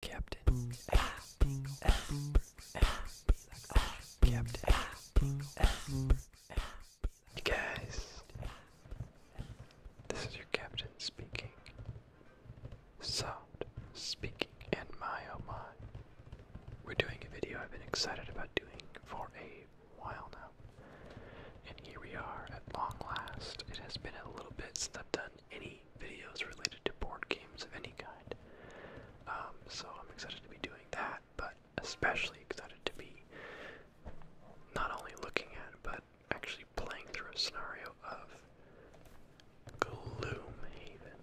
Captain guys, this is your captain speaking. Sound speaking, and my oh my, we're doing a video I've been excited about doing for a while now, and here we are at long last. It has been a little bit since I've done any videos related to board games of any kind. Um, so I'm excited to be doing that, but especially excited to be not only looking at, but actually playing through a scenario of Gloomhaven.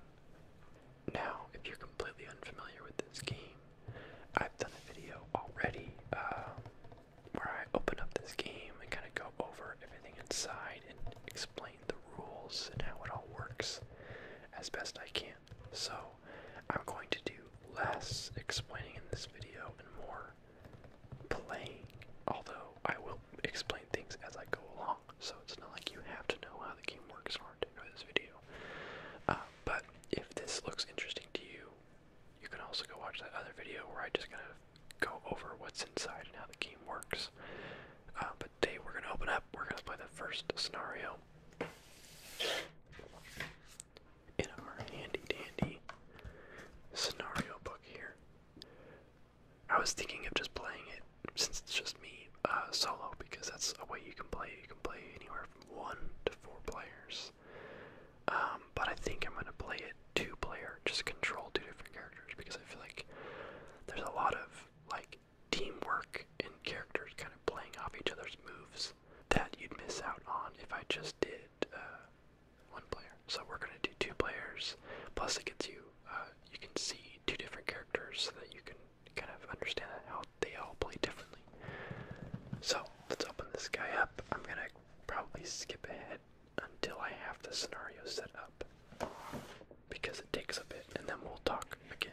Now, if you're completely unfamiliar with this game, I've done a video already um, where I open up this game and kind of go over everything inside and explain the rules and how it all works as best I can. So I'm going to do less explaining in this video and more playing, although I will explain things as I go along. So it's not like you have to know how the game works in order to enjoy this video. Uh, but if this looks interesting to you, you can also go watch that other video where I just kind of go over what's inside and how the game works. Uh, but today we're gonna open up. We're gonna play the first scenario in our handy dandy scenario book here. I was thinking of just playing it since it's just me uh, solo because that's a way you can play. You can play anywhere from one to four players. Um, but I think I'm gonna play it two player, just control two different characters because I feel like there's a lot of like teamwork and characters kind of playing off each other's moves that you'd miss out on if I just did uh, one player. So we're gonna do two players. Plus, it gets you uh, you can see two different characters so that you can kind of understand how they all play differently. So let's open this guy up. I'm gonna probably skip ahead until I have the scenario set up because it takes a bit and then we'll talk again.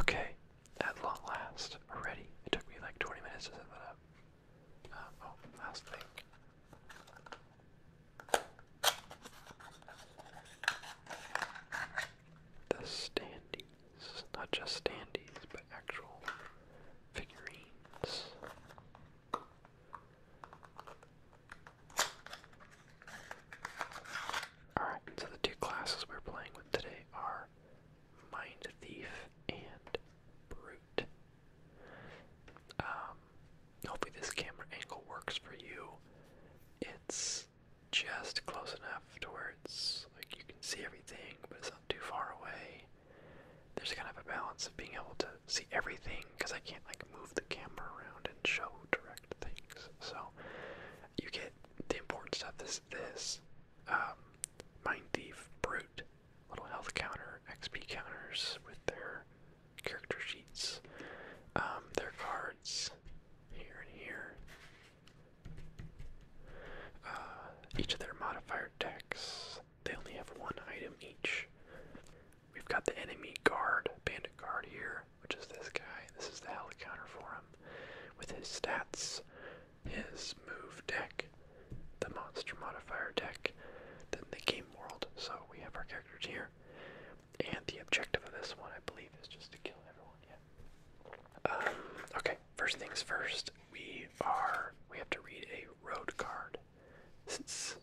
Okay, at long last, already. It took me like 20 minutes to set that up. Uh, oh, last thing. The standee not just standees, but actual figurines. Alright, so the two classes we're playing with today are Mind Thief and Brute. Um, hopefully this camera angle works for you. It's just close enough afterwards. Like you can see everything, but it's not too far away. There's kind of a balance of being able to see everything because I can't like move the camera around and show direct things. So you get the important stuff. This this um, mind thief brute little health counter XP counters with their character sheets, um, their cards here and here. Uh, each of their modifier decks, they only have one item each. We've got the enemy guard, bandit guard here, which is this guy. This is the helicounter for him. With his stats, his move deck, the monster modifier deck, then the game world. So we have our characters here. And the objective of this one, I believe, is just to kill everyone. Yeah. Um, okay, first things first, we are we have to read a road card. Since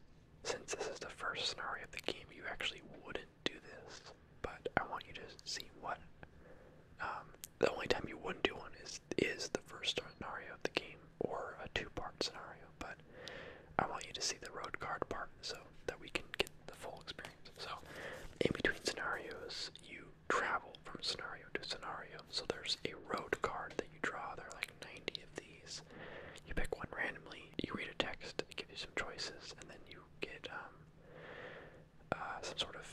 since this is the first scenario of the game, you actually wouldn't do this. But I want you to see what um, the only time you wouldn't do one is is the first scenario of the game or a two-part scenario. But I want you to see the road card part so that we can get the full experience. So in between scenarios, you travel from scenario to scenario. So there's a road card that you draw. There are like 90 of these. You pick one randomly. You read a text. It gives you some choices, and then you get um, uh, some sort of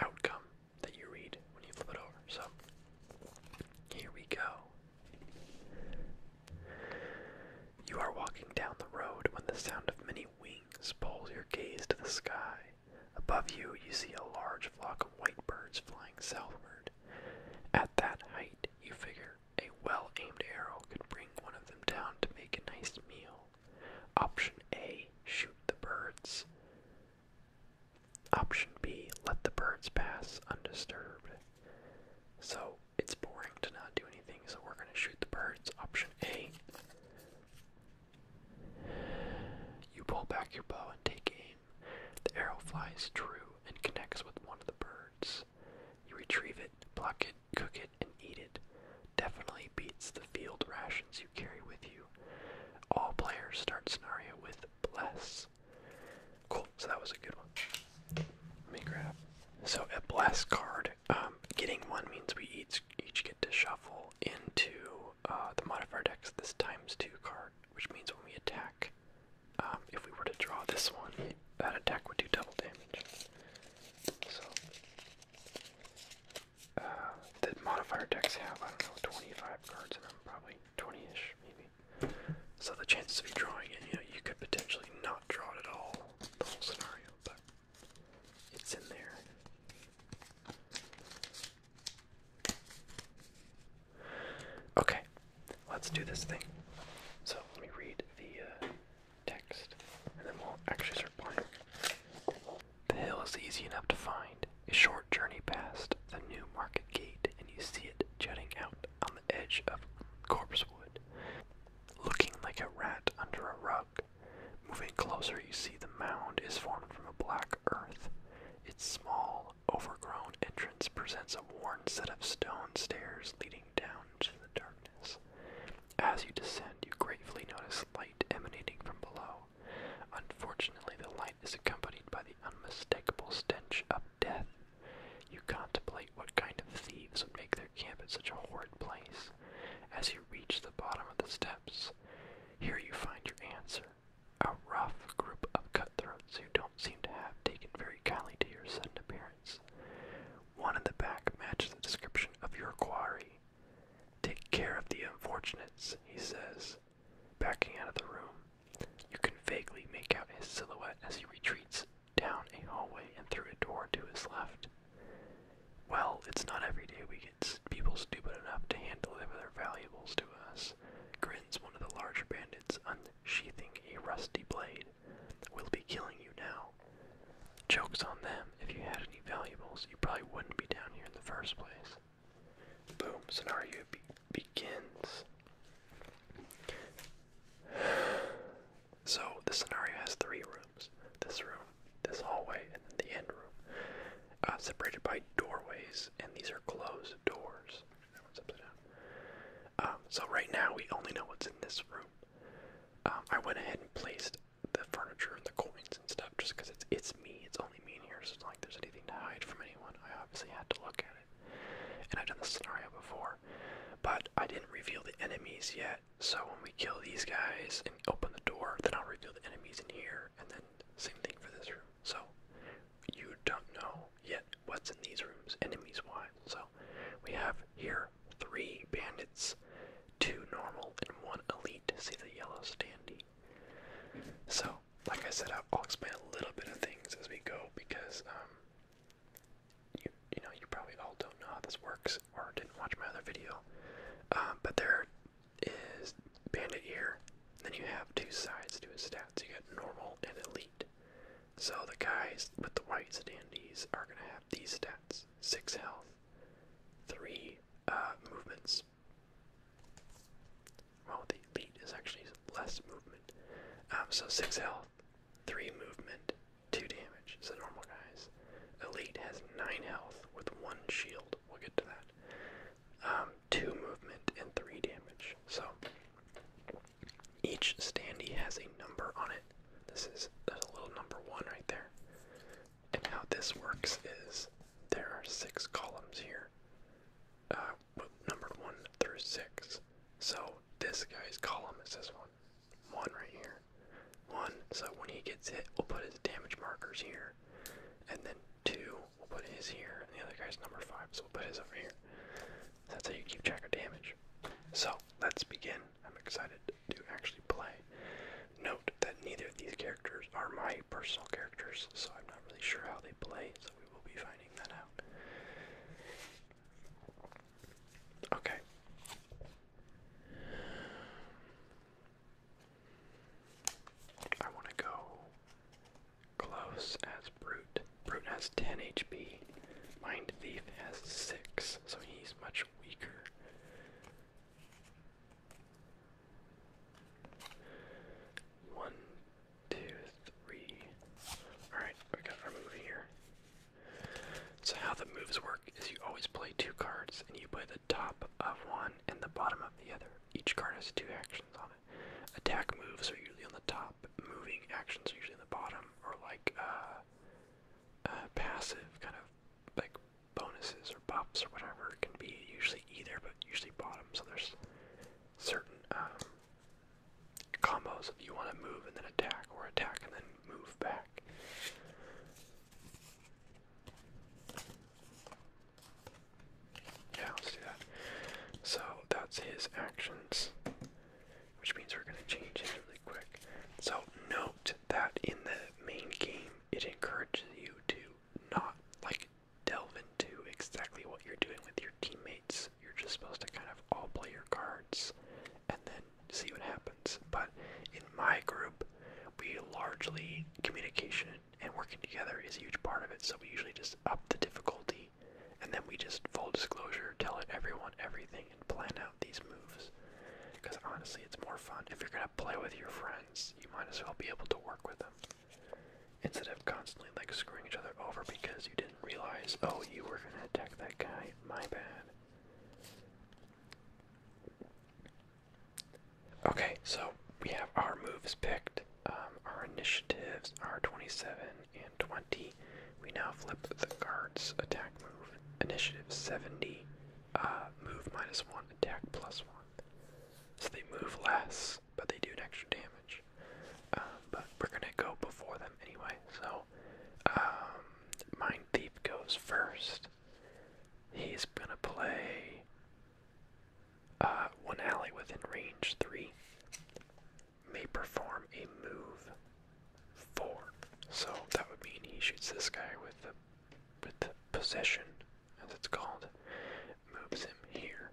outcome that you read when you flip it over. So here we go. You are walking down the road when the sound of many wings pulls your gaze to the sky. Above you, you see a large flock of white birds flying southward. At that height, you figure a well aimed arrow could bring one of them down to make a nice meal. Option A shoot the birds. Option B let the birds pass undisturbed. So it's boring to not do anything, so we're going to shoot the birds. Option A. You pull back your bow and take aim. The arrow flies true and connects with one of the birds. You retrieve it, pluck it, cook it, and eat it. Definitely beats the field rations you carry with you. All players start scenario with bless. Cool, so that was a good one. Let me grab. So a bless card. Um, getting one means we each each get to shuffle into uh, the modifier decks this times two card, which means when we attack, um, if we were to draw this one, that attack would do double damage. So uh, the modifier decks have I don't know 25 cards in them, probably 20-ish maybe. So the chances of you drawing it, you know, you could potentially not draw it at all, the whole scenario, but it's in there. Okay, let's do this thing. So let me read the uh, text, and then we'll actually start playing. The hill is easy enough to find. A short journey past the new market gate, and you see it jutting out on the edge of Corpsewood, looking like a rat under a rug. Moving closer, you see the mound is formed from a black earth. Its small, overgrown entrance presents a worn set of stone stairs leading down to the darkness. As you descend, you gratefully notice light emanating from below. Unfortunately, the light is accompanied by the unmistakable stench of death. You contemplate what kind of thieves would make their camp at such a horrid place. As you reach the bottom of the steps, here you find your answer a rough group of cutthroats who don't seem to have taken very kindly to your sudden appearance. One in the back matches the description of your quarry. Take care of the unfortunates, he says, backing out of the room. You can vaguely make out his silhouette as he retreats down a hallway and through a door to his left. Well, it's not every day we get people stupid enough to hand deliver their valuables to us. Grins one of the larger bandits, unsheathing a rusty blade. We'll be killing you now. Joke's on them. If you had any valuables, you probably wouldn't be down here in the first place. Boom, scenario begins. So, the scenario has three rooms. This room this hallway and then the end room, uh, separated by doorways, and these are closed doors. That one's upside down. Um, so right now we only know what's in this room. Um, I went ahead and placed the furniture and the coins and stuff just because it's it's me. It's only me in here, so it's not like there's anything to hide from anyone. I obviously had to look at it, and I've done this scenario before, but I didn't reveal the enemies yet. So when we kill these guys and open the door, then I'll reveal the enemies in here, and then same thing for this room. So you don't know yet what's in these rooms, enemies why? So we have here three bandits, two normal, and one elite. See the yellow standee. So, like I said, I'll explain a little bit of things as we go because um, you you know you probably all don't know how this works or didn't watch my other video. Uh, but there are is bandit ear. Then you have two sides to his stats. You got normal and elite. So the guys with the white standees are gonna have these stats: six health, three uh, movements. Well, the elite is actually less movement. Um, so six health, three movement, two damage. is the normal guys. Elite has nine health with one shield. We'll get to that. Um, two movement and three damage. So each standee has a number on it. This is a little number one right there. And how this works is there are six columns here, uh, numbered one through six. So this guy's column is this one, one right here, one. So when he gets hit, we'll put his damage markers here, and then two. We'll put his here, and the other guy's number five, so we'll put his over here. That's how you keep track of damage. So let's begin. I'm excited to actually play. Note that neither of these characters are my personal characters, so I'm not really sure how they play, so we will be finding that out. Okay. I want to go close as Brute. Brute has 10 HP. Mind Thief has 6, so he's much weaker. One, two, three. Alright, we got our move here. So, how the moves work is you always play two cards and you play the top of one and the bottom of the other each card has two actions on it. Attack moves are usually on the top, moving actions are usually on the bottom, or like uh, uh, passive kind of like bonuses or buffs or whatever it can be usually either, but usually bottom. So there's certain um, combos if you want to move and then attack, or attack and then move back. Yeah, let's do that. So that's his actions, which means we're going to change it really quick. So note that in the main game, it encourages you to not like delve into exactly what you're doing with your teammates. You're just supposed to kind of all play your cards and then see what happens. But in my group, we largely communication and working together is a huge part of it. So we usually just up the difficulty, and then we just full disclosure tell everyone everything and plan out these moves. Because honestly, it's more fun if you're gonna play with your friends. You might as well be able to work with them instead of constantly like screwing each other over because you didn't realize. Oh, you were gonna attack that guy. My bad. Okay, so we have our moves picked, um, our initiatives are 27 and 20. We now flip the guard's attack move. Initiative 70, uh, move minus 1, attack plus 1. So they move less, but they do an extra damage. Um, but we're gonna go before them anyway, so um, Mind Thief goes first. He's gonna play uh, one ally within range 3 may perform a move 4. So that would mean he shoots this guy with the, with the possession, as it's called, moves him here.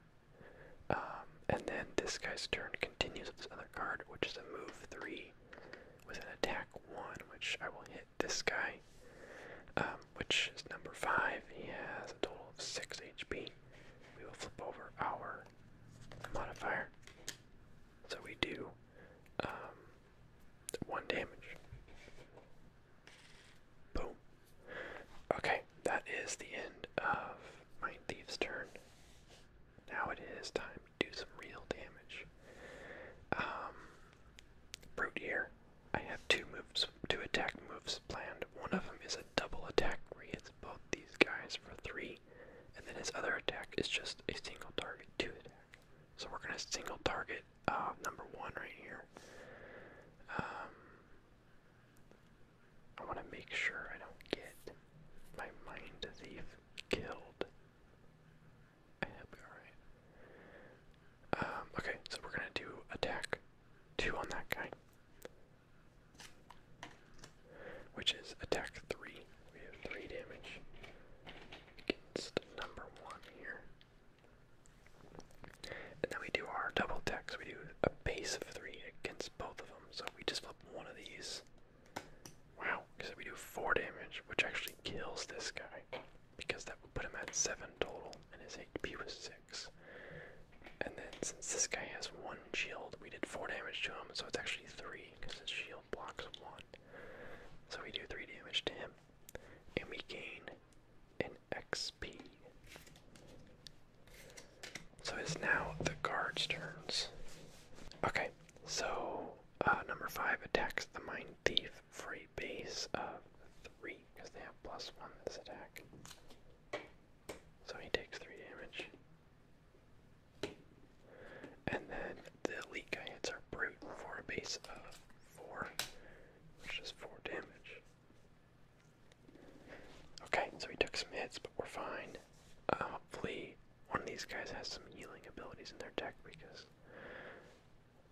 Um, and then this guy's turn continues with this other card, which is a move 3 with an attack 1, which I will hit this guy um, which is number five. He has a total of six HP. We will flip over our modifier. So we do um, one damage. Boom. Okay, that is the end of my thief's turn. Now it is time to do some real damage. Um, brute here I have two moves, two attack moves planned. One of them is a double attack where it's both these guys for three, and then his other attack is just a single target two attack. So we're gonna single target um, number one right here. Um, I want to make sure I don't get my mind thief killed. I hope we're alright. Um, okay, so we're gonna do attack two on that guy, which is attack three. We have three damage against number one here. And then we do our double attacks. We do a base of three against both of them. So we just flip one of these. Wow, because we do four damage, which actually kills this guy because that would put him at 7 total, and his HP was 6. And then since this guy has 1 shield, we did 4 damage to him, so it's actually 3 because his shield blocks 1. So we do 3 damage to him, and we gain an XP. So it's now the guard's turns. Okay, so uh, number 5 attacks the Mind Thief free base of 3 because they have plus 1 this attack. So he takes 3 damage. And then the elite guy hits our brute for a base of 4, which is 4 damage. Okay, so he took some hits, but we're fine. Uh, hopefully, one of these guys has some healing abilities in their deck because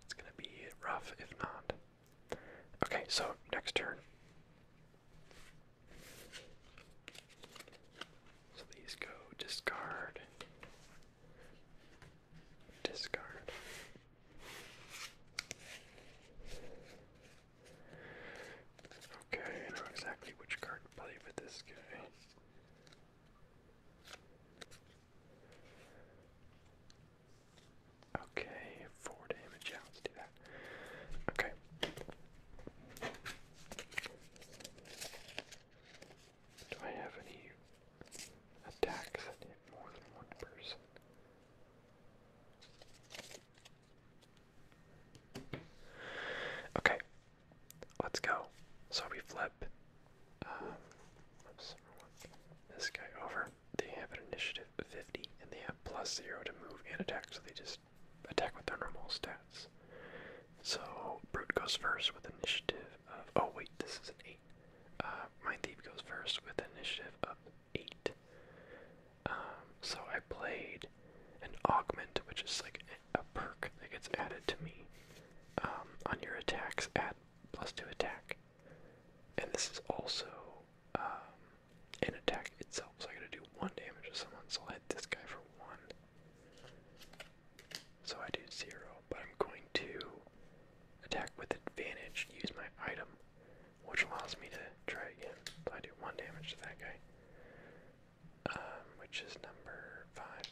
it's going to be rough if not. Okay, so next turn. So go discard, discard. Okay, I know exactly which card to play with this guy. Okay, four damage. let's do that. Okay. Do I have any attacks that hit more than one person? Okay, let's go. So we flip. Uh, this guy over. They have an initiative of 50, and they have plus 0 to move and attack, so they just attack with their normal stats. So, Brute goes first with initiative of. Oh, wait, this is an 8. Uh, my Thief goes first with initiative of 8. Um, so, I played an Augment, which is like a perk that gets added to me um, on your attacks, at 2 attack. And this is also um, attack itself. So I gotta do one damage to someone, so i hit this guy for one. So I do zero, but I'm going to attack with advantage, use my item, which allows me to try again. So I do one damage to that guy, um, which is number five.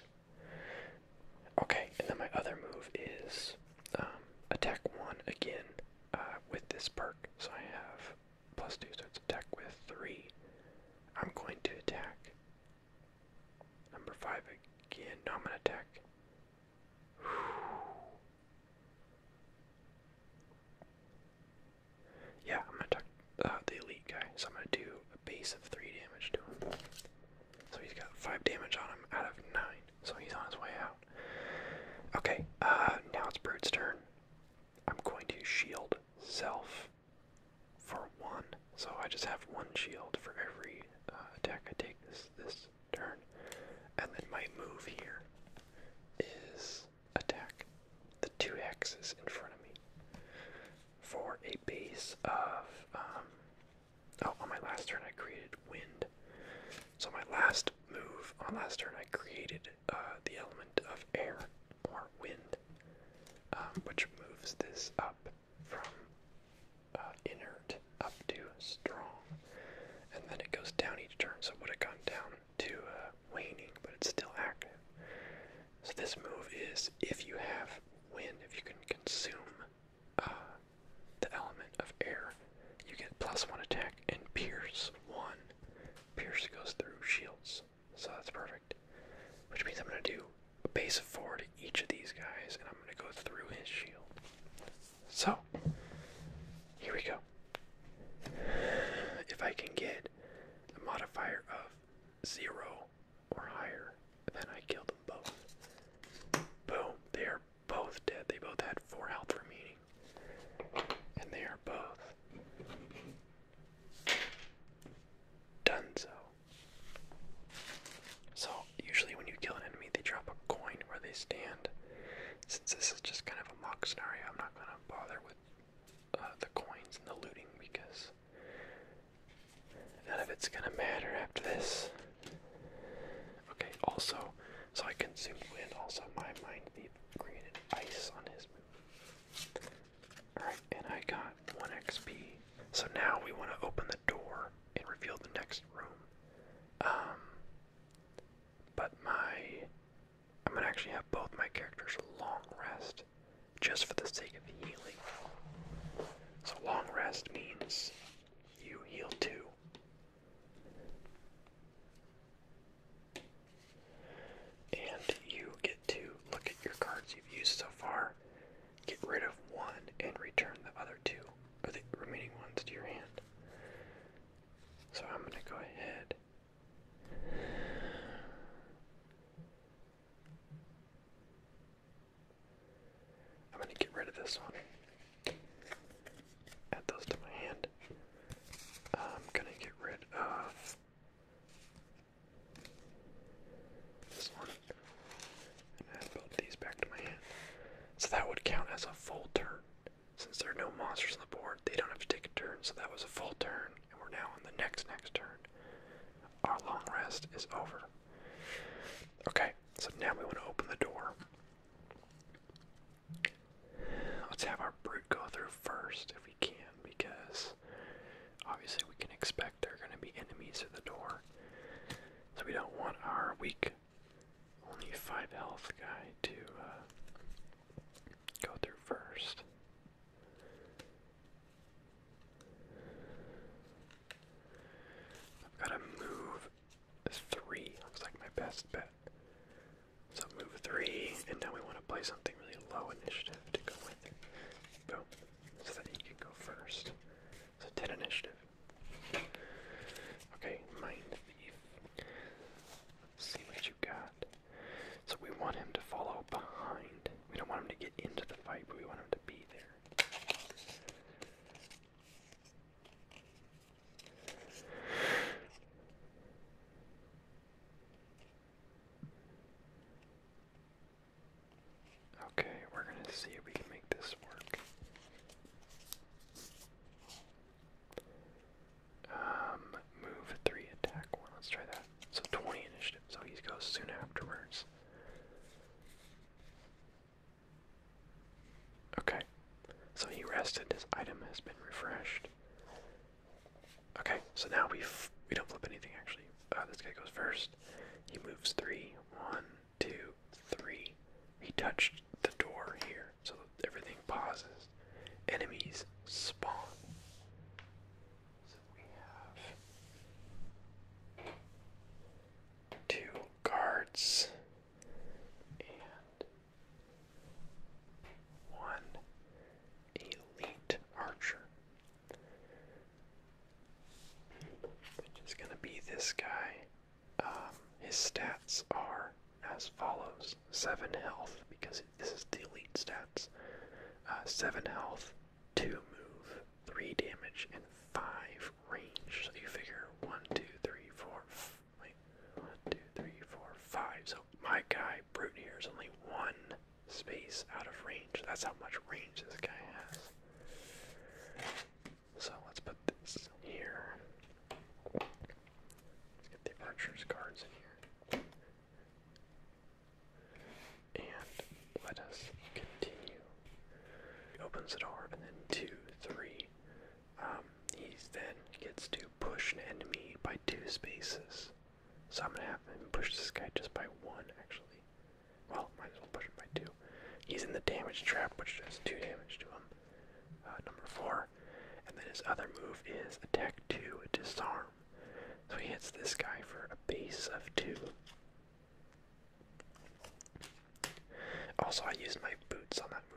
Okay, and then my other move is um, attack one again uh, with this perk. So I have plus two, so it's attack with three. I'm going to attack number five again. No, I'm going to attack. Yeah, I'm going to attack uh, the elite guy. So I'm going to do a base of three damage to him. So he's got five damage on him out of nine so he's on his way out. Okay, uh, now it's Brute's turn. I'm going to shield self for one, so I just have one shield for every uh, attack I take this this turn, and then my move here is attack the two X's in front of me for a base of um, Oh, on my last turn I created wind. So my last move on last turn I created uh, the element of air or wind, um, which moves this up from uh, inert up to strong, and then it goes down each turn. So it would have gone down to uh, waning, but it's still active. So this move is if you have wind, if you can consume uh, the element of air, you get plus one attack and pierce one. Pierce goes through shields, so that's perfect. Which means I'm gonna do a base of four to each of these guys, and I'm gonna go through his shield. So here we go. If I can get a modifier of zero or higher, then I kill them both. Boom, they are both dead. They both had four health remaining. And they are both done so. So, usually when you kill an enemy, they drop a coin where they stand. Since this is just kind of a mock scenario, I'm not going to bother with uh, the coins and the looting because none of it's going to matter after this. Okay, also, so I consumed wind, also my mind thief created ice on his move. Alright, and I got 1 XP. So now we want to open the door and reveal the next room. Um, but my. I'm gonna actually have both my characters long rest just for the sake of healing. So, long rest means you heal two and you get to look at your cards you've used so far, get rid of one, and return the other two, or the remaining ones to your hand. So I'm going to go ahead. I'm going to get rid of this one. Add those to my hand. I'm gonna get rid of this one and add both these back to my hand. So that would count as a full turn. Since there are no monsters on the board, they don't have to take a turn, so that was a full turn, and we're now on the next next turn. Our long rest is over. Okay, so now we want to open the door. Let's have our brute go through first if we can, because obviously we can expect there are going to be enemies at the door. So we don't want our weak, only 5 health guy to uh, go through first. I've got to move Three looks like my best bet. So move three, and now we want to play something really low initiative to go with So that he can go first. So 10 initiative. Okay, Mind Thief. see what you got. So we want him to follow behind. We don't want him to get into the fight, but we want him to be there. Okay, we're going to see if we can make this work. Um, move three, attack one. Let's try that. So 20 initiative. So he goes soon afterwards. Okay, so he rested. This item has been refreshed. Okay, so now we we don't flip anything actually. Uh, this guy goes first. He moves three, one, two, three. He touched the door here, so everything pauses. Enemies spawn. So we have two guards and one elite archer, which is going to be this guy. Um, his stats are as follows: seven health, because this is the elite stats. Uh, seven health, two move, three damage, and five range. So you figure one, two, three, four, one, two, three, four, five. So my guy, Brute here, is only one space out of range. That's how much range this guy has. So let's put this here. Let's get the archer's cards in here. And let us continue. He opens the door, and then two, three, um, he then gets to push an enemy by two spaces. So I'm gonna have him push this guy just by one, actually. Well, might as well push it by two. He's in the damage trap, which does two damage to him. Uh, number four. And then his other move is attack two, disarm. So he hits this guy for a base of two. Also, I used my boots on that move.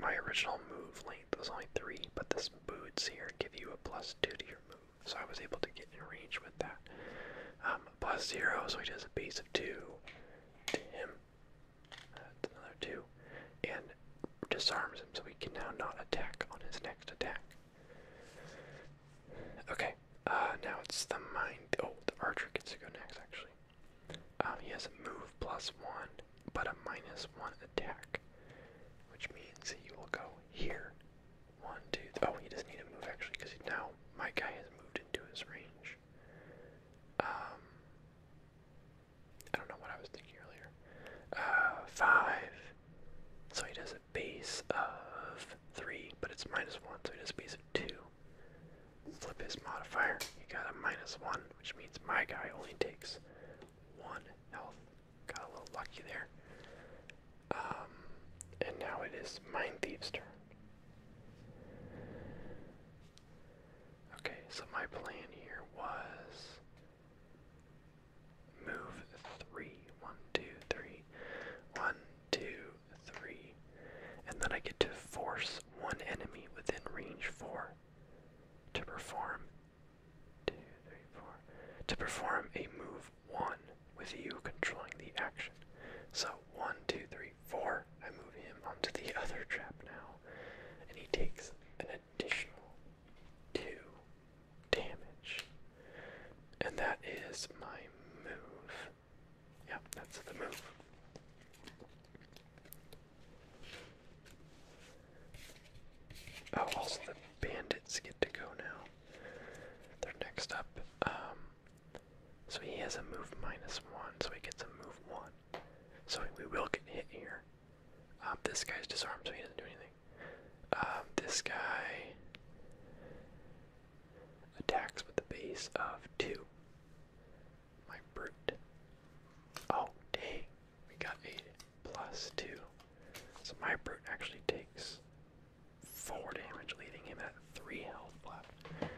My, original move length was only three, but this boots here give you a plus two to your move, so I was able to get in range with that. Um, plus zero, so he has a base of two to him. That's another two, and disarms him, so he can now not attack on his next attack. Okay, uh, now it's the mind. Oh, the archer gets to go next, actually. Um, he has a move plus one, but a minus one attack, which means that you will go here. One, two. Oh, he doesn't need a move actually, because now my guy has moved into his range. Um, I don't know what I was thinking earlier. Uh, five. So he has a base of three, but it's minus one, so he has a base of two. Flip his modifier. He got a minus one, which means my guy only takes one health. Got a little lucky there. Um, and now it is Mind Thief's turn. Okay, so my plan here was move three, one, two, three, one, two, three, And then I get to force one enemy within range 4 to perform two, three, four, to perform a move 1 with you controlling the action. So one, two, three, four. I move him onto the other trap now, and he takes an additional 2 damage. And that is my move. Yep, that's the move. Oh, also the bandits get to go now. They're next up. Um, so he has a move minus one, so he gets a move one. So we will get hit here. Um, this guy's disarmed, so he doesn't do anything. Um, this guy attacks with a base of two my brute. Oh, dang. We got a plus two. So my brute actually takes four damage, leaving him at three health left.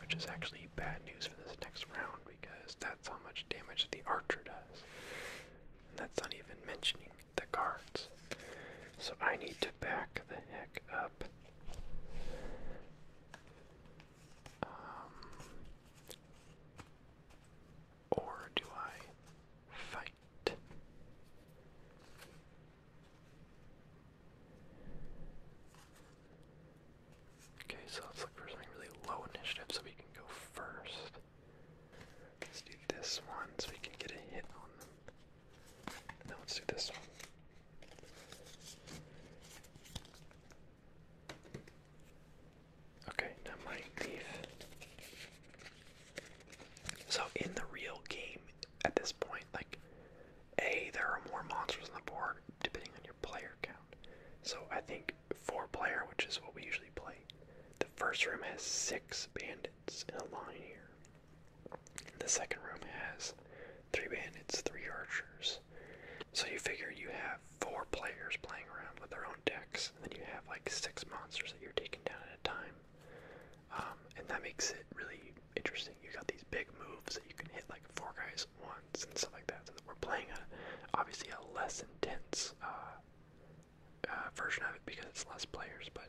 Which is actually bad news for this next round because that's how much damage the archer does. that's not even mentioning the guards. So I need to back the heck up. Um, or do I fight? Okay, so let's look for something really low initiative so we can go first. Let's do this one so we can get a hit on them. And let's do this one. Okay, now my thief. So in the real game, at this point, like, A, there are more monsters on the board depending on your player count. So I think four player, which is what we usually play, the first room has six bandits in a line here. The second room has three bandits, three archers. So you figure you have four players playing around with their own decks, and you have like six monsters that you're taking down at a time. Um, and that makes it really interesting. You got these big moves that you can hit like four guys once and stuff like that. So that we're playing a obviously a less intense uh, uh, version of it because it's less players, but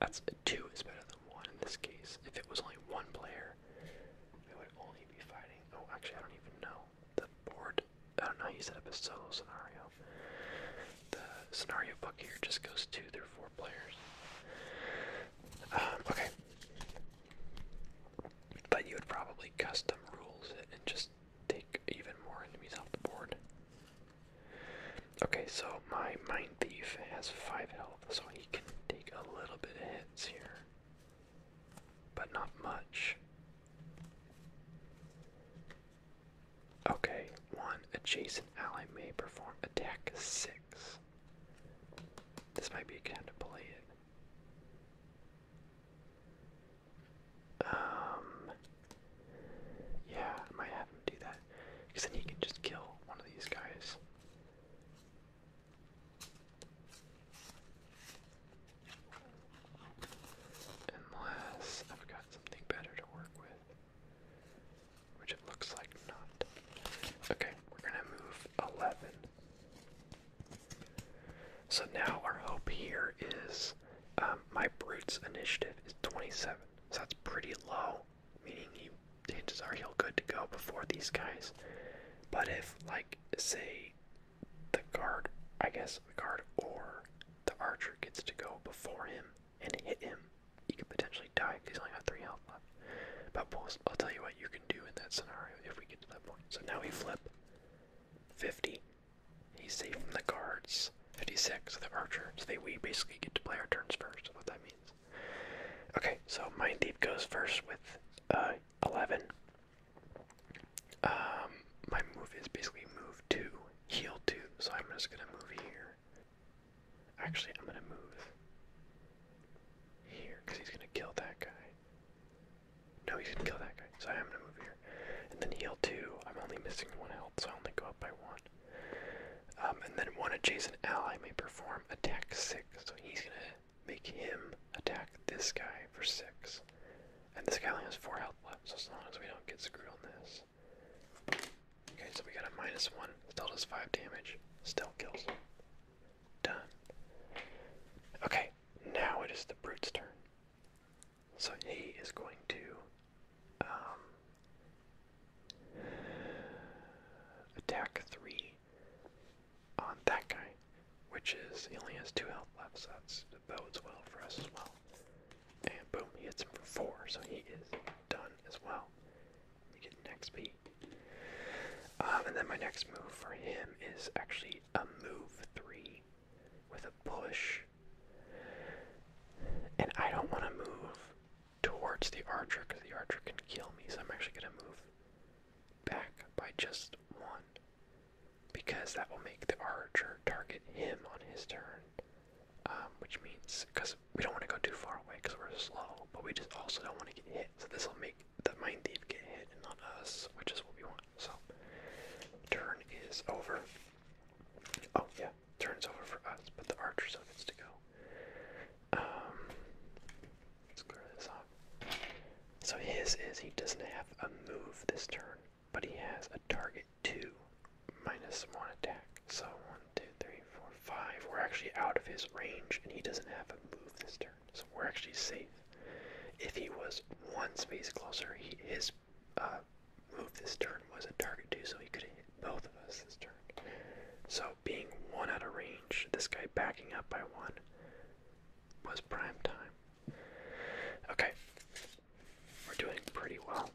that's two is better than one in this case. If it was only one player, here. would only be fighting. Oh, actually, I don't even know. The board. I don't know. He set up a solo scenario. The scenario book here just goes two through four players. Um, okay. But you would probably custom rules and just take even more enemies off the board. Okay, so my Mind Thief has 5 health, so he can take a little bit of hits here but not much. Okay, one adjacent ally may perform attack six. This might be a kind of play it. Um, yeah, might have him do that because then he can just kill one of these guys. Unless I've got something better to work with, which it looks like not. Okay, we're gonna move 11. So now our hope here is um, my Brute's initiative is 27, so that's pretty low, meaning he, chances are he'll good to go before these guys. But if, like, say the guard, I guess the guard or the archer gets to go before him and hit him, you could potentially die because he's only got three health left. But I'll tell you what you can do in that scenario if we get to that point. So now we flip 50. He's safe from the guards. 56, the archer. So we basically get to play our turns first, what that means. Okay, so Mind Deep goes first with uh, 11. Um, my move is basically move two, heal two, so I'm just gonna move here. Actually, I'm gonna move here because he's gonna kill that guy. No, he's gonna kill that guy, so I'm gonna move here. And then heal two. I'm only missing one health, so I only go up by one. Um, and then one adjacent ally may perform attack six, so he's gonna make him attack this guy for six. And this guy only has four health left, so as long as we don't get screwed on this. Okay, so we got a minus one. Still does five damage. Still kills. Done. Okay, now it is the brute's turn. So he is going to um, attack three on that guy, which is he only has two health left, so that bodes well for us as well. And boom, he hits him for four, so he is done as well. You get an XP. Um, and then my next move for him is actually a move three with a push. And I don't want to move towards the archer because the archer can kill me, so I'm actually going to move back by just one, because that will make the archer target him on his turn, um, which means because we don't want to go too far away because we're slow, but we just also don't want to get hit. So this will make the mind thief get hit and not us, which is what we want. So turn is over. Oh yeah, turn's over for us, but the archer still gets to go. Um, screw this up. So his is he doesn't have a move this turn, but he has a target two minus one attack. So one, two, three, four, five. We're actually out of his range, and he doesn't have a move this turn. So we're actually safe. If he was one space closer, he, his uh, move this turn was a target two, so he could have hit both of us this turn. So being one out of range, this guy backing up by one was prime time. Okay, we're doing pretty well.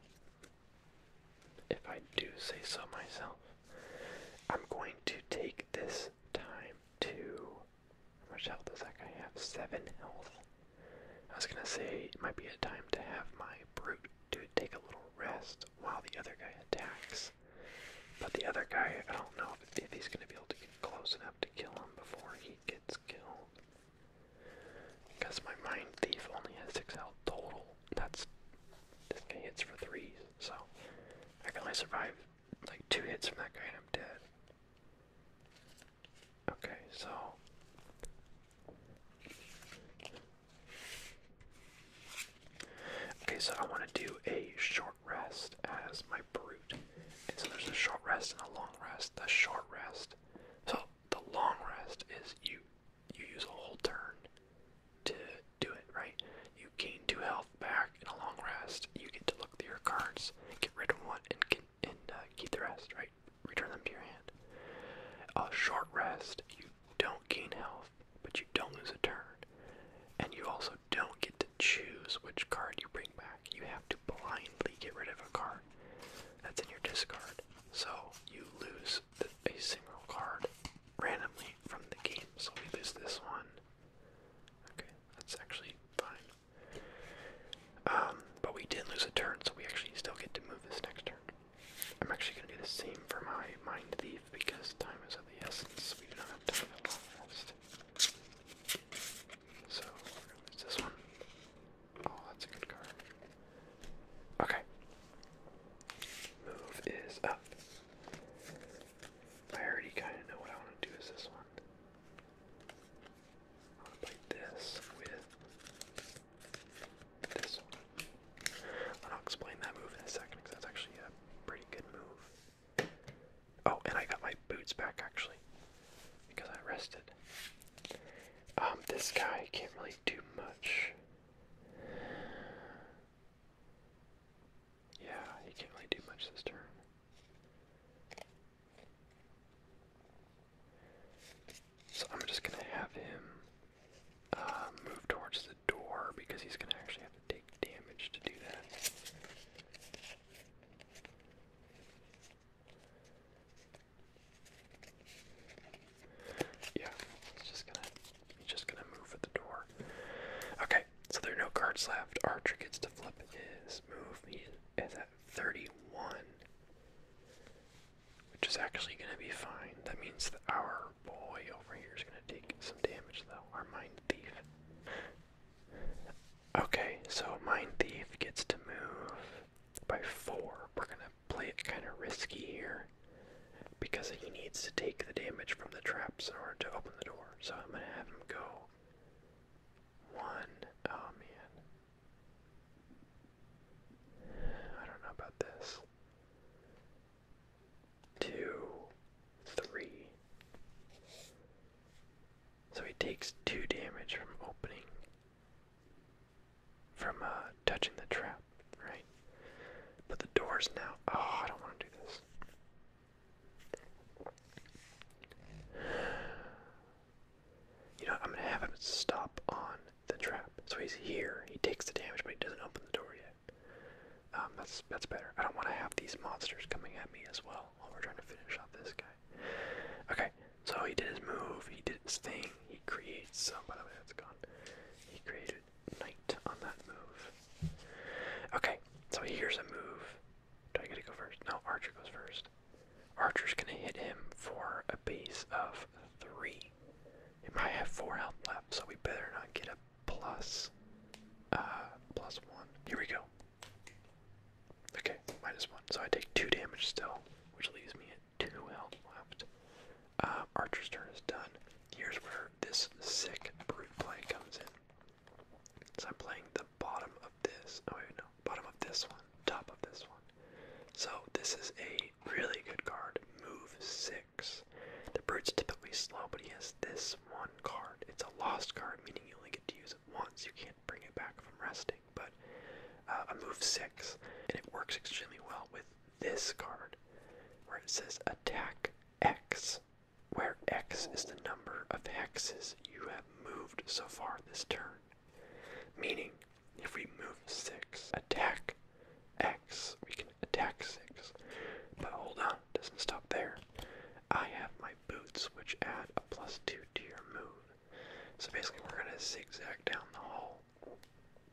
If I do say so myself, I'm going to take this time to. How much health does that guy have? Seven health. I was gonna say it might be a time to have my brute to take a little rest while the other guy attacks. But the other guy, I don't know if he's gonna be able to get close enough to kill him before he gets killed. Because my Mind Thief only has 6 health total. That's. This hits for 3s, so. I can only survive like 2 hits from that guy and I'm dead. Okay, so. Okay, so I want to do a short rest as my brute. so there's a short rest and a long rest. The short rest. So the long rest is you you use a whole turn to do it, right? You gain two health back in a long rest. You get to look through your cards, get rid of one, and and uh, keep the rest, right? Return them to your hand. A short rest. You don't gain health, but you don't lose a turn. And you also don't get to choose which card you bring back. You have to blindly get rid of a card that's in your discard. So you lose a single card randomly from the game. So we lose this one. Okay, that's actually fine. Um, but we did lose a turn, so we actually still get to move this next turn. I'm actually going to do the same for my Mind Thief because time is of the essence. We do not have time to long rest. So we're gonna use this one. Oh, that's a good card. Okay. Move is up. I already kinda know what I want to do is this one. I wanna play this with this one. And I'll explain that move in a second because that's actually a pretty good move. Oh, and I got my boots back actually because I rested. Um, this guy can't really do much. Yeah, he can't really do much this turn. So I'm just gonna have him uh, move towards the door because he's gonna actually take damage to do that. Yeah, he's just gonna he's just gonna move for the door. Okay, so there are no cards left. Archer gets to flip his move. He is at 31. Which is actually gonna be fine. That means that our boy over here is gonna take some damage though, our mind thief. Okay, so Mind Thief gets to move by four. We're gonna play it kind of risky here because he needs to take the damage from the traps in order to open the door. So I'm gonna have him go one. Oh man, I don't know about this. Two three. So he takes two damage from opening, from uh, touching the trap, right? But the door's now. Oh, I don't want to do this. You know, I'm gonna have him stop on the trap. So he's here. He takes the damage, but he doesn't open the door yet. Um, that's that's better. I don't want to have these monsters coming at me as well while we're trying to finish off this guy. Okay, so he did his move, he did his thing, he creates. Oh, by the way, that's gone. He created knight on that move. Okay, so here's a move. Do I get to go first? No, Archer goes first. Archer's gonna hit him for a base of three. He might have four health left, so we better not get a plus, uh, plus one. Here we go. Okay, minus one. So I take two damage still, which leaves me at two health left. Uh, Archer's turn is done. Here's where this sick brute play comes in. So I'm playing the bottom of this. Oh wait, no, bottom of this one, top of this one. So this is a really good card. Move six. The brute's typically slow, but he has this one card. It's a lost card, meaning you only get to use it once. You can't bring it back from resting, but uh, move six, and it works extremely well with this card, where it says attack X, where X is the number of hexes you have moved so far this turn. Meaning, if we move six, attack X, we can attack six. But hold on, it doesn't stop there. I have my boots, which add a plus two to your move. So basically, we're gonna zigzag down the hall,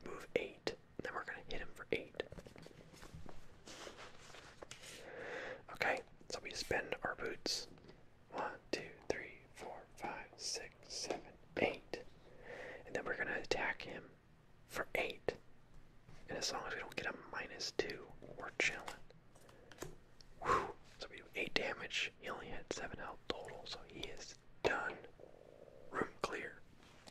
move eight, then we're gonna hit him for eight. Okay, so we spend our boots. One, two, three, four, five, six, seven, eight. And then we're gonna attack him for eight. And as long as we don't get a minus two, we're chilling. So we do 8 damage. He only had 7 health total, so he is done. Room clear.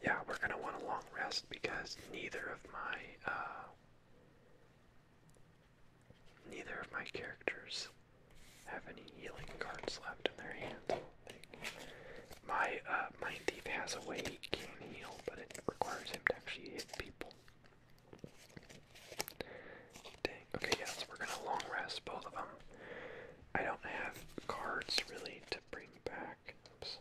Yeah, we're going to want a long rest because neither of my, uh, neither of my characters have any healing cards left in their hands. My, uh, my thief has a way he can heal, but it requires him to actually hit people. Okay, yeah, so we're gonna long rest both of them. I don't have cards really to bring back. Oops.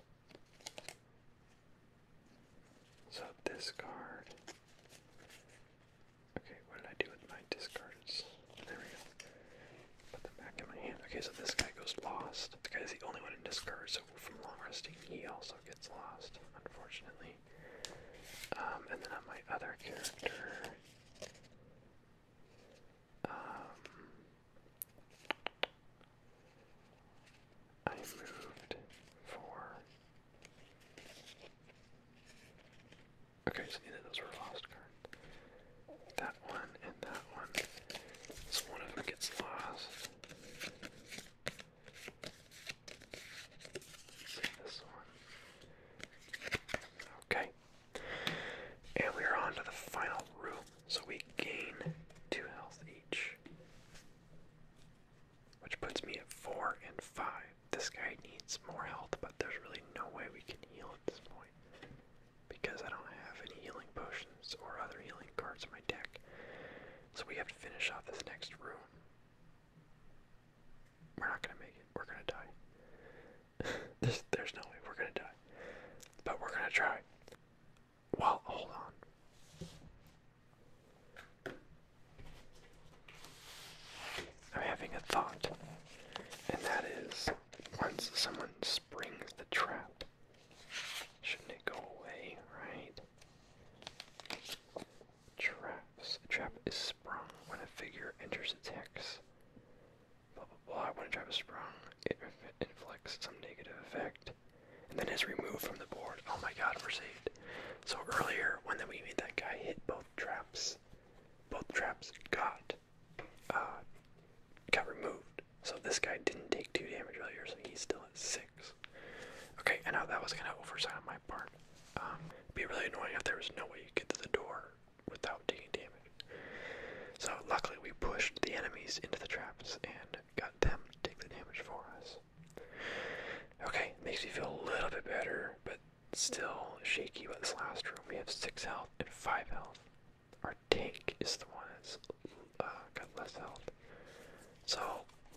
So discard. Okay, what did I do with my discards? There we go. Put them back in my hand. Okay, so this guy goes lost. The guy is the only one in discard, so from long resting, he also gets lost, unfortunately. Um, and then on my other character, um, I moved for. Okay, so neither those were lost cards. That one and that one. So one of them gets lost. Okay. And we are on to the final room, so we gain two health each. Which puts me at four and five. This guy needs more health, but there's really no way we can heal at this point. Because I don't have any healing potions or other healing cards in my deck. So we have to finish off this next room. We're not gonna make it. We're gonna die. there's, there's no way we're gonna die. But we're gonna try. Well, hold on. I'm having a thought, and that is once someone springs the trap, shouldn't it go away, right? Traps. A trap is sprung when a figure enters its hex. Blah blah blah. When a trap is sprung, it inflicts some negative effect. And then is removed from the board. Oh my god, we're saved. So earlier, when we made that guy hit both traps, both traps got uh, got removed. So this guy didn't take two damage earlier, so he's still at 6. Okay, I know that was kind of oversight on my part. Um, be really annoying if there was no way you get to the door without taking damage. So luckily we pushed the enemies into the traps and got them to take the damage for us. Okay, makes me feel a little bit better, but still shaky about this last room. We have six health and five health. Our tank is the one that's uh, got less health. So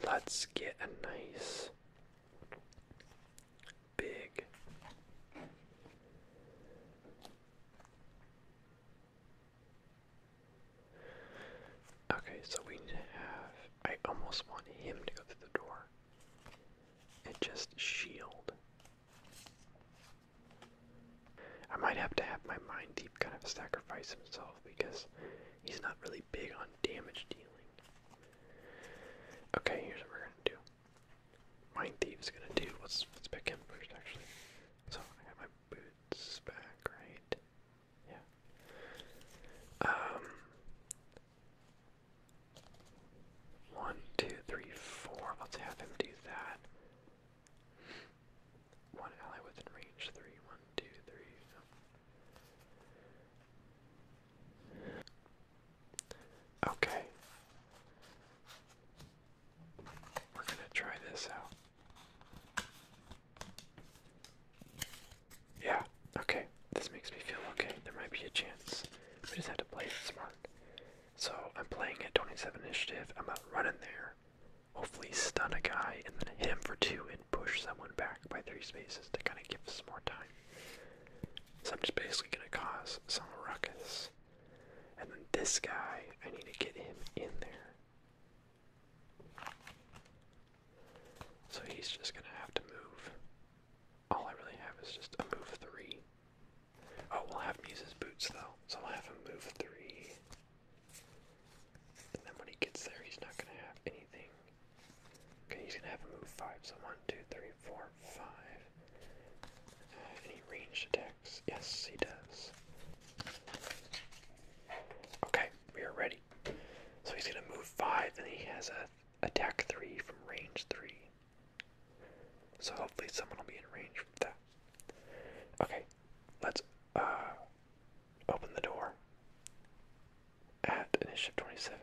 let's get a nice big Okay, so we need to have I almost want him to go through the door. And just shield. I might have to have my mind deep kind of sacrifice himself because He's not really big on damage dealing. Okay, here's what we're gonna do. Mind Thief's gonna do. Let's let first, actually. So I got my boots back, right? Yeah. Um. One, two, three, four. Let's have him do that. One ally within range. Three. One, two, three. Okay. We're going to try this out. Yeah, okay. This makes me feel okay. There might be a chance. We just have to play it smart. So I'm playing at 27 initiative. I'm out running there. Hopefully stun a guy and then hit him for two and push someone back by three spaces to kind of give us more time. So I'm just basically going to cause some ruckus. And then this guy, I need to get him in there. So he's just going to have to move. All I really have is just a move three. Oh, we'll have him boots though, so i will have him move three. And then when he gets there, he's not going to have anything Okay, he's gonna have a move five. So one, two, three, four, five. Uh, any ranged attacks? Yes, he does. Okay, we are ready. So he's gonna move five, and he has a attack three from range three. So hopefully someone will be in range for that. Okay, let's uh open the door at initiative 27.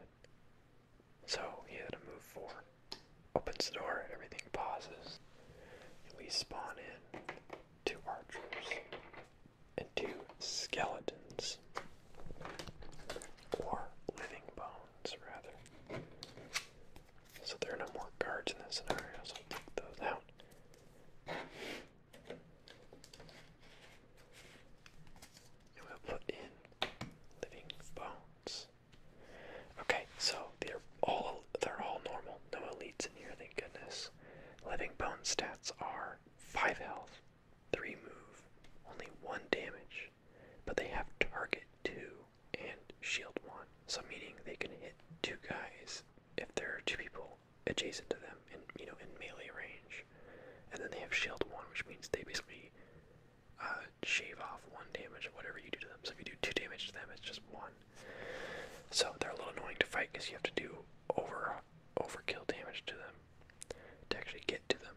So he had to move forward. Opens the door, everything pauses. And we spawn in two archers and two skeletons. Or living bones, rather. So there are no more guards in this scenario, so i take those out. And we'll put in living bones. Okay, so they're all they're all normal. No elites in here, thank goodness. Living bone stats are five health, three move, only one damage, but they have target two and shield one. So meaning they can hit two guys if there are two people adjacent to them in you know in melee range, and then they have shield one, which means they basically uh, shave off one damage of whatever you do to them. So if you do two damage to them, it's just one. So they're a little annoying to fight because you have to do over overkill damage to them to actually get to them.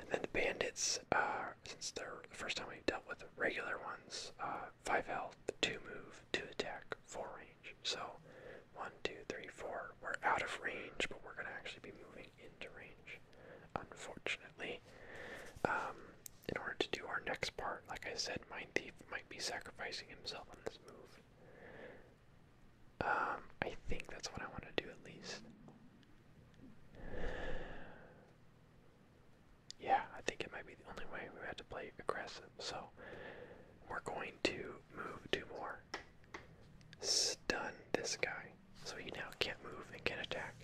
And then the bandits, uh, since they're the first time we dealt with regular ones, uh, five health, two move, two attack back full range. So one, two, three, four. We're out of range, but we're gonna actually be moving into range, unfortunately. Um, in order to do our next part, like I said, mine Thief might be sacrificing himself on this move. Um, I think that's what I want to do at least. Yeah, I think it might be the only way we had to play aggressive, so we're going to move two more stun this guy so he now can't move and can not attack.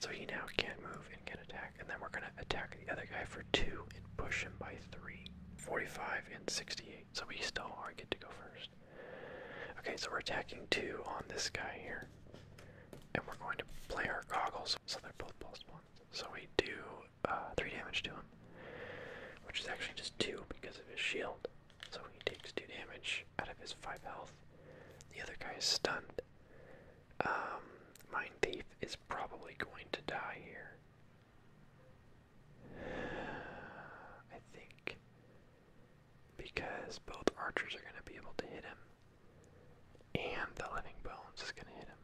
So he now can't move and can not attack. And then we're going to attack the other guy for 2 and push him by 3. 45 and 68. So we still are good to go first. Okay, so we're attacking 2 on this guy here. And we're going to play our goggles so they're both plus 1. So we do uh, 3 damage to him, which is actually just 2 because of his shield. So he takes 2 damage out of his 5 health. The other guy is stunned. Um, Mind Thief is probably going to die here. I think. Because both archers are going to be able to hit him. And the Living Bones is going to hit him.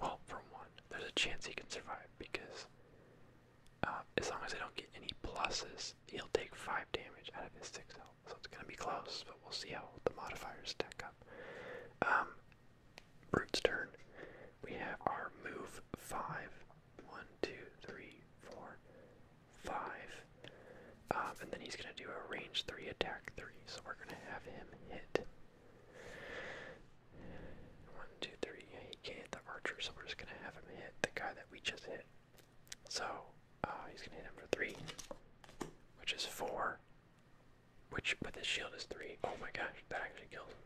Well, from one there's a chance he can survive because um, as long as I don't get any pluses, he'll take five damage out of his six health. So it's gonna be close, but we'll see how the modifiers stack up. Brute's um, turn. We have our move five. One, two, um, and then he's gonna do a range three attack three. So we're gonna have him hit. One, two, three. Yeah, he can't hit the archer, so we're just gonna have him hit the guy that we just hit. So, uh, he's gonna hit him for three, which is four. Which, but the shield is three. Oh my gosh, that actually kills him.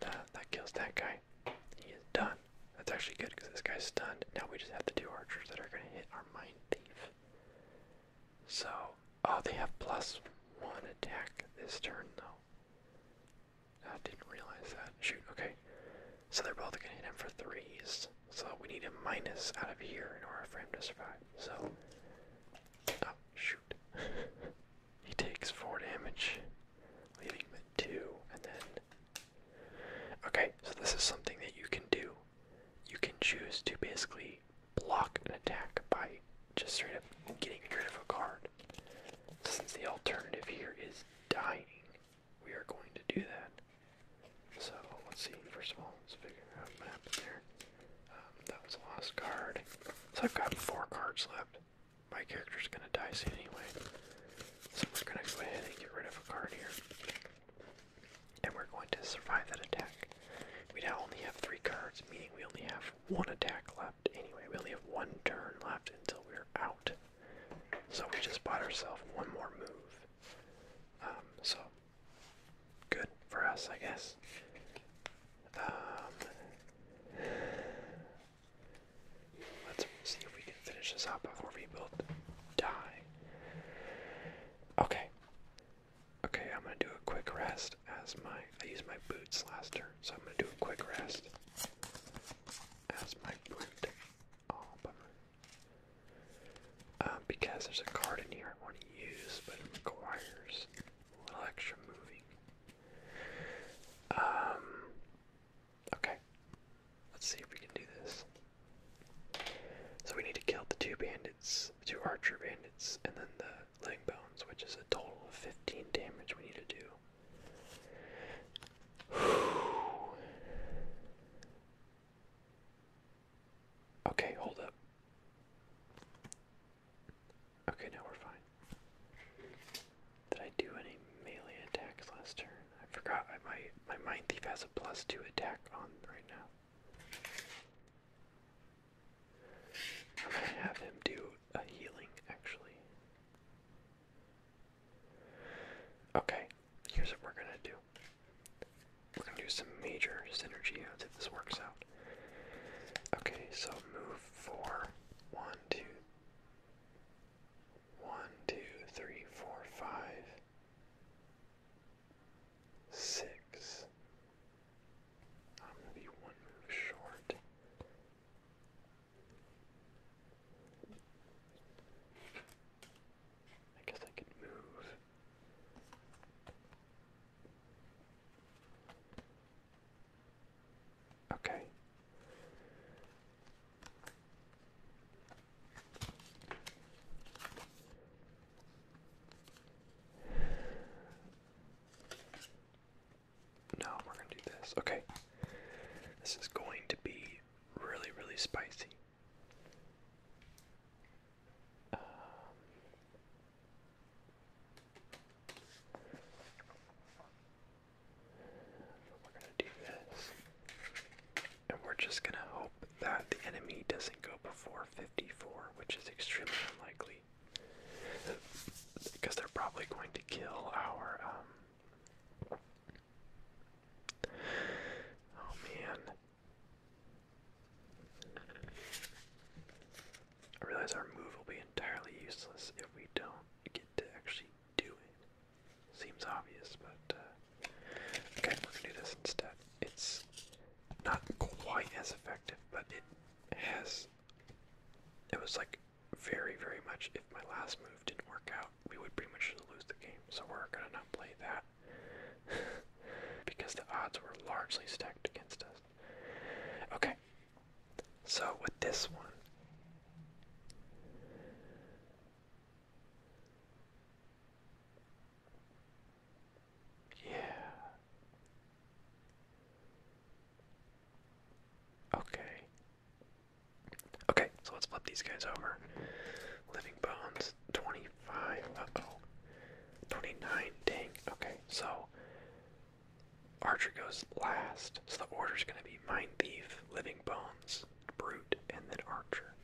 That, that kills that guy. He is done. That's actually good because this guy's stunned. Now we just have the two archers that are gonna hit our mind thief. So, oh, they have plus one attack this turn, though. I didn't realize that. Shoot, okay. So they're both gonna hit him for threes. So we need a minus out of here in order for him to survive. So, oh, shoot. he takes four damage, leaving him at two, and then. Okay, so this is something that you can do. You can choose to basically block an attack by just straight up getting rid of a card. Since the alternative here is dying, we are going to do that. So let's see, first of all, let's figure out what happened there. Um, that was a lost card. So I've got four cards left. My character's gonna die soon anyway. So we're gonna go ahead and get rid of a card here. And we're going to survive that attack. We now only have three cards, meaning we only have one attack left anyway. We only have one turn left until we're out. So we just bought ourselves one more move. Um, so good for us, I guess. Um, let's see if we can finish this up before we both die. Okay. Okay, I'm gonna do a quick rest as my I use my boots last turn, so I'm gonna do a quick rest as my boot. Oh, bummer. Uh, because there's a card in here I want to use, but it requires a little extra moving. Um, okay, let's see if we can do this. So we need to kill the two bandits, two archer bandits, and then the leg bones, which is a total of 15 damage we need to do. Okay, hold up. Okay, now we're fine. Did I do any melee attacks last turn? I forgot. my my mind thief has a plus two attack on right now. I'm going to have him do a healing, actually. Okay, here's what we're going to do. We're going to do some major synergy odds if this works out. Okay, so move four, one, two, one, two, three, four, five, six, I'm going to be one move short. I guess I could move. Okay. No, we're gonna do this. Okay. This is going to be really, really spicy. Um, we're gonna do this. And we're just gonna hope that the enemy doesn't go before 54, which is extremely unlikely. Because they're probably going to kill our. Um, oh man. I realize our move will be entirely useless if we don't get to actually do it. Seems obvious, but. Uh, okay, we're gonna do this instead. It's not quite as effective, but it has it was like very, very much if my last move didn't work out, we would pretty much lose the game. So we're gonna not play that because the odds were largely stacked against us. Okay, so with this one. Yeah. Okay. Okay, so let's flip these guys over. Living Bones, 25, uh 29, dang. Okay, so Archer goes last, so the order is gonna be Mind Thief, Living Bones, Brute, and then Archer.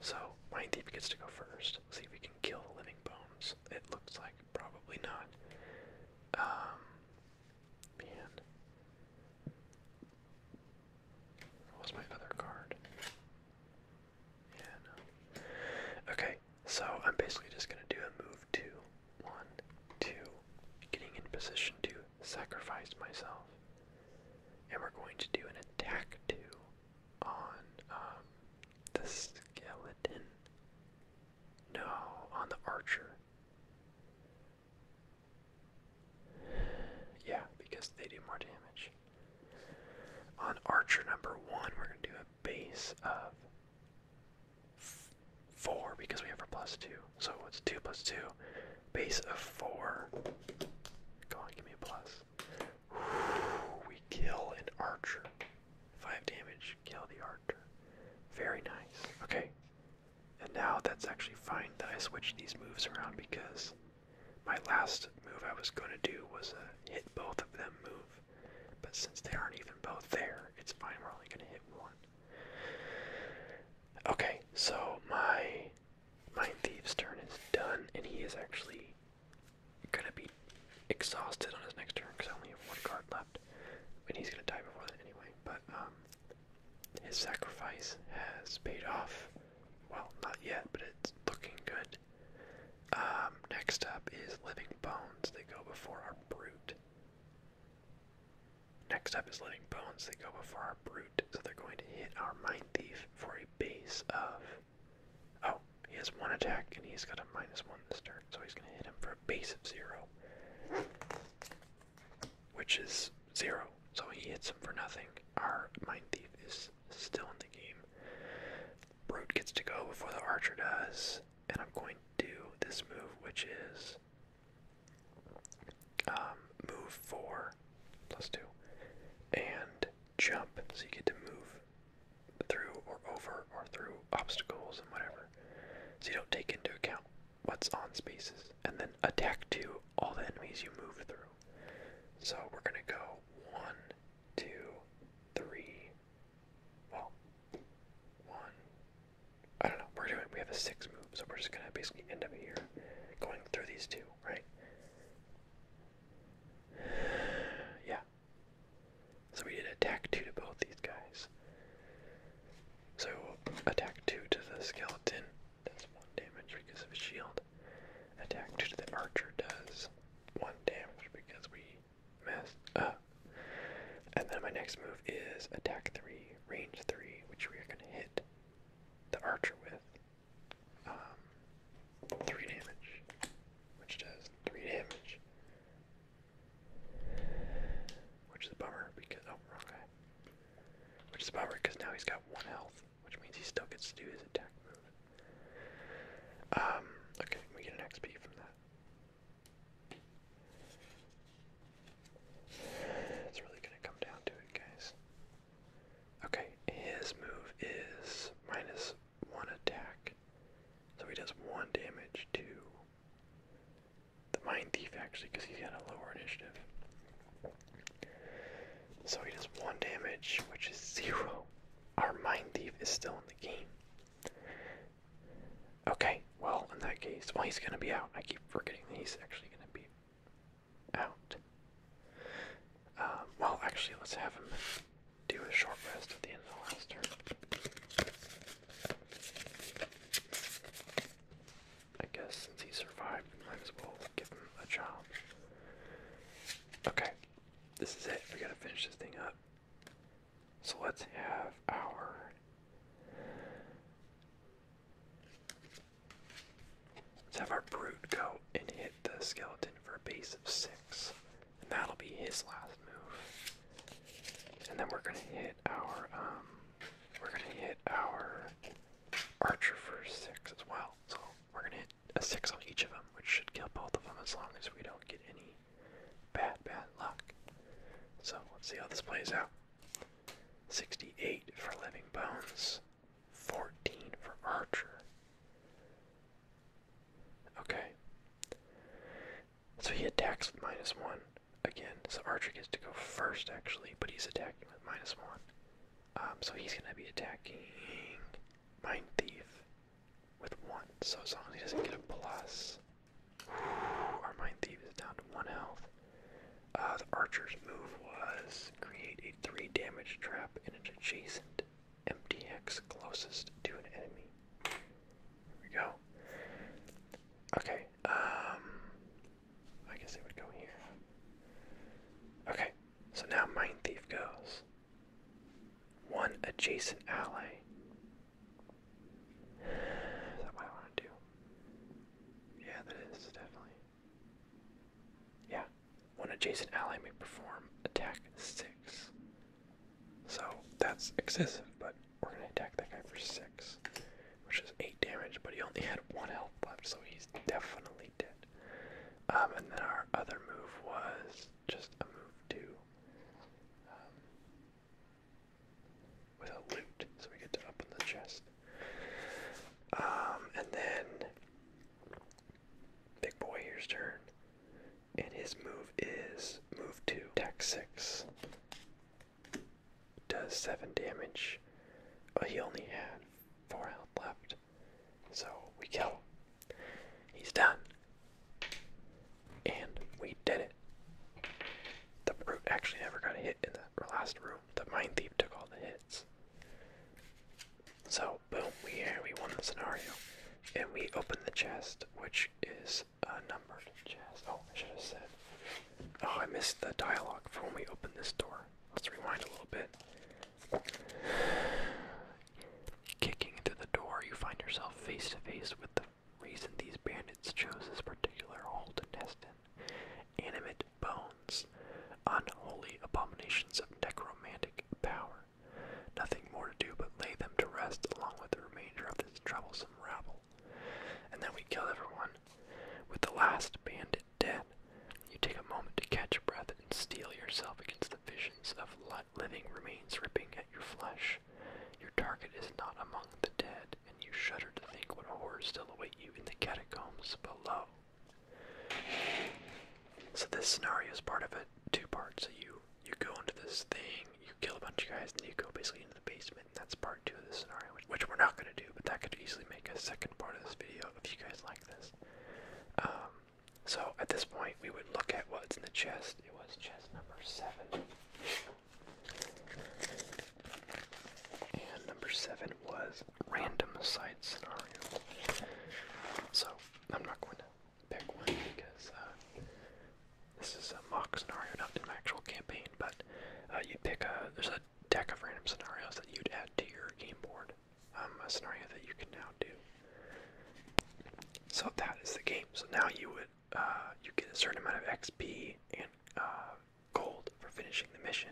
So Mind Thief gets to go 1st see if we can kill the Living Bones it looks like. Probably not. Um, what was my other card? Yeah, Okay, so I'm basically just gonna do a move two, one, two, getting in position to sacrifice myself. And we're going to do an attack two on um, the skeleton. No, on the archer. Yeah, because they do more damage. On archer number one, we're going to do a base of four because we have our plus two. So what's two plus two, base of four. Go on, give me a plus. we kill an archer. Five damage, kill the archer. Very nice. Okay. And now that's actually fine that I switched these moves around because my last move I was going to do was a hit both of them move. But since they aren't even both there, it's fine. We're only going to hit one. Okay, so my my Thief's turn is done, and he is actually gonna be exhausted on his next turn because I only have one card left. And he's gonna die before that anyway. But um, his sacrifice has paid off. Well, not yet, but it's looking good. Um, next up is Living Bones. They go before our Brute. Next up is Living Bones. They go before our Brute, so they're going to hit our Mind Thief for a base of Oh, he has one attack and he's got a minus one this turn, so he's going to hit him for a base of zero, which is zero. So he hits him for nothing. Our Mind Thief is still in the game. Brute gets to go before the Archer does, and I'm going to do this move, which is um, move four plus two and jump, so you get to move through or over or through obstacles and whatever. So you don't take into account what's on spaces. And then attack to all the enemies you move through. So we're going to go one, two, three. Well, one. I don't know. We're doing, we have a six move, so we're just going to basically end up here going through these two, right? Yeah, so we did attack 2 to both these guys. So attack 2 to the skeleton does 1 damage because of his shield. Attack 2 to the archer does 1 damage because we messed up. And then my next move is attack 3, range 3, which we are going to hit the archer with. Um, 3 damage, which does 3 damage. Which is a bummer because oh wrong guy. Which is a bummer because now he's got one health, which means he still gets to do his attack move. Um, okay, we get an XP from that. It's really gonna come down to it, guys. Okay, his move is minus one attack. So he does one damage to the Mind Thief, actually, because he's got a lower initiative. So he does one damage, which is zero. Our Mind Thief is still in the game. Okay, well, in that case, well, he's going to be out. I keep forgetting that he's actually going to be out. Um, well, actually, let's have him do a short rest at the end of the last turn. I guess since he survived, might as well give him a job. Okay, this is it. We gotta finish this thing up. So let's have our. Let's have our brute go and hit the skeleton for a base of six. And that'll be his last move. And then we're gonna hit our um we're gonna hit our archer for six as well. So we're gonna hit a six on each of them, which should kill both of them as long as we don't get any bad bad luck. So let's see how this plays out. 68 for Living Bones, 14 for Archer. Okay. So he attacks with minus one again. So Archer gets to go first, actually, but he's attacking with minus one. Um, so he's going to be attacking Mind Thief with one. So as long as he doesn't get a plus, our Mind Thief is down to one health. Uh, the Archer's move was create a three damage trap in an adjacent MDX closest to an enemy. Here we go. Okay, um, I guess it would go here. Okay, so now mine Thief goes. One adjacent ally. Is that what I want to do? Yeah, that is definitely. Yeah, one adjacent ally may perform attack six. So that's excessive, but we're gonna attack that guy for six, which is eight damage, but he only had one health left, so he's definitely dead. Um, and then our other move was just a move to um, with a loot, so we get to open the chest. Um, and then Big Boy here's turn. And his move is move 2, attack 6. Does 7 damage. But oh, he only had 4 health left. So we kill He's done. And we did it. The brute actually never got hit in the last room. The mine thief took all the hits. So boom, we we won the scenario, and we open the chest, which is uh, numbered Oh, I should have said. Oh, I missed the dialogue for when we open this door. Let's rewind a little bit. Kicking through the door, you find yourself face to face with the reason these bandits chose this particular hole to nest in. Animate bones, unholy abominations of necromantic power. Nothing more to do but lay them to rest along with the remainder of this troublesome rabble. And then we kill everyone. With the last bandit dead, you take a moment to catch your breath and steel yourself against the visions of living remains ripping at your flesh. Your target is not among the dead, and you shudder to think what horrors still await you in the catacombs below. So this scenario is part of a 2 parts of you you go into this thing, you kill a bunch of guys, and you go basically into the basement. And that's part two of this scenario, which, we're not going to do, but that could easily make a second part of this video if you guys like this. Um, so at this point, we would look at what's in the chest. It was chest number seven. And number seven was random side scenario. So I'm not going to pick one because uh, this is a mock scenario, not an actual campaign, but uh, you pick a, there's a deck of random scenarios that you'd add to your game board, um, a scenario that you can now do. So that is the game. So now you would, uh, you get a certain amount of XP and gold for finishing the mission.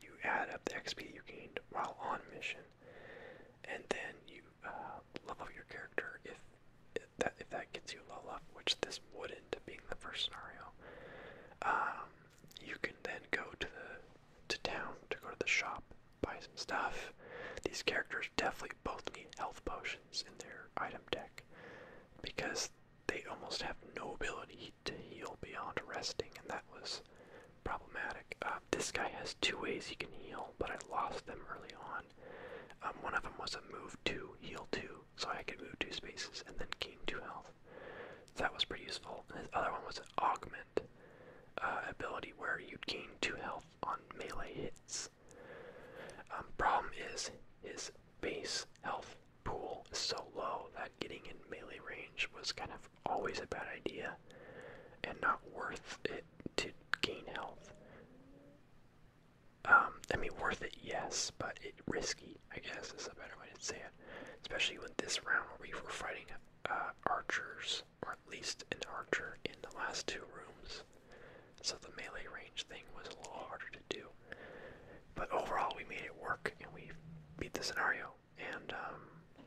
You add up the XP you gained while on mission, and then you level up your character if if that if that gets you low up, which this wouldn't, being the first scenario, um, you can then go to the to town to go to the shop, buy some stuff. These characters definitely both need health potions in their item deck because they almost have no ability to heal beyond resting, and that was problematic. Uh, this guy has two ways he can heal, but I lost them early on. Um, one of them was a move two, heal two, so I could move two spaces and then gain two health. That was pretty useful. The other one was an augment uh, ability where you'd gain two health on melee hits. Um, problem is his base health pool is so low that getting in melee range was kind of always a bad idea and not worth it to gain health. Um, I mean, worth it, yes, but it risky. I guess is a better way to say it. Especially with this round where we were fighting uh, archers, or at least an archer in the last two rooms. So the melee range thing was a little harder to do. But overall, we made it work, and we beat the scenario. And um,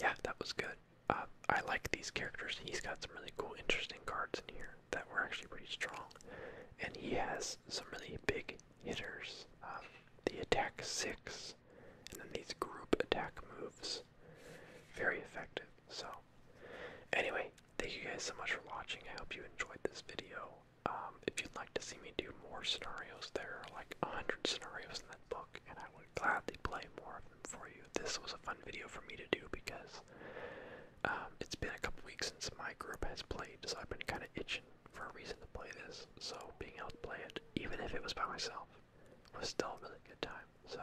yeah, that was good. Uh, I like these characters. He's got some really cool, interesting cards in here that were actually pretty strong, and he has some really big hitters. Um, the attack six, and then these group attack moves, very effective. So, anyway, thank you guys so much for watching. I hope you enjoyed this video. Um, if you'd like to see me do more scenarios, there are like a hundred scenarios in that book, and I would gladly play more for you. This was a fun video for me to do because um, it's been a couple weeks since my group has played, so I've been kind of itching for a reason to play this. So being able to play it, even if it was by myself, was still a really good time. So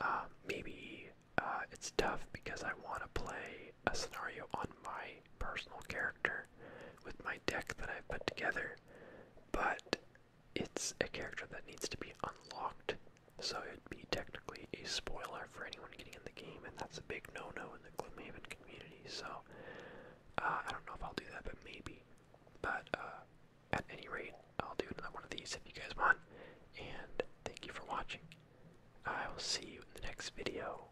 um, maybe uh, it's tough because I want to play a scenario on my personal character with my deck that I've put together, but it's a character that needs to be unlocked, so it'd be technically a spoiler for anyone getting in the game, and that's a big no-no in the Gloomhaven community. So uh, I don't know if I'll do that, but maybe. But uh, at any rate, I'll do another one of these if you guys want. And thank you for watching. I will see you in the next video.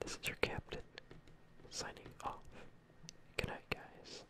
This is your captain signing off. Good night, guys.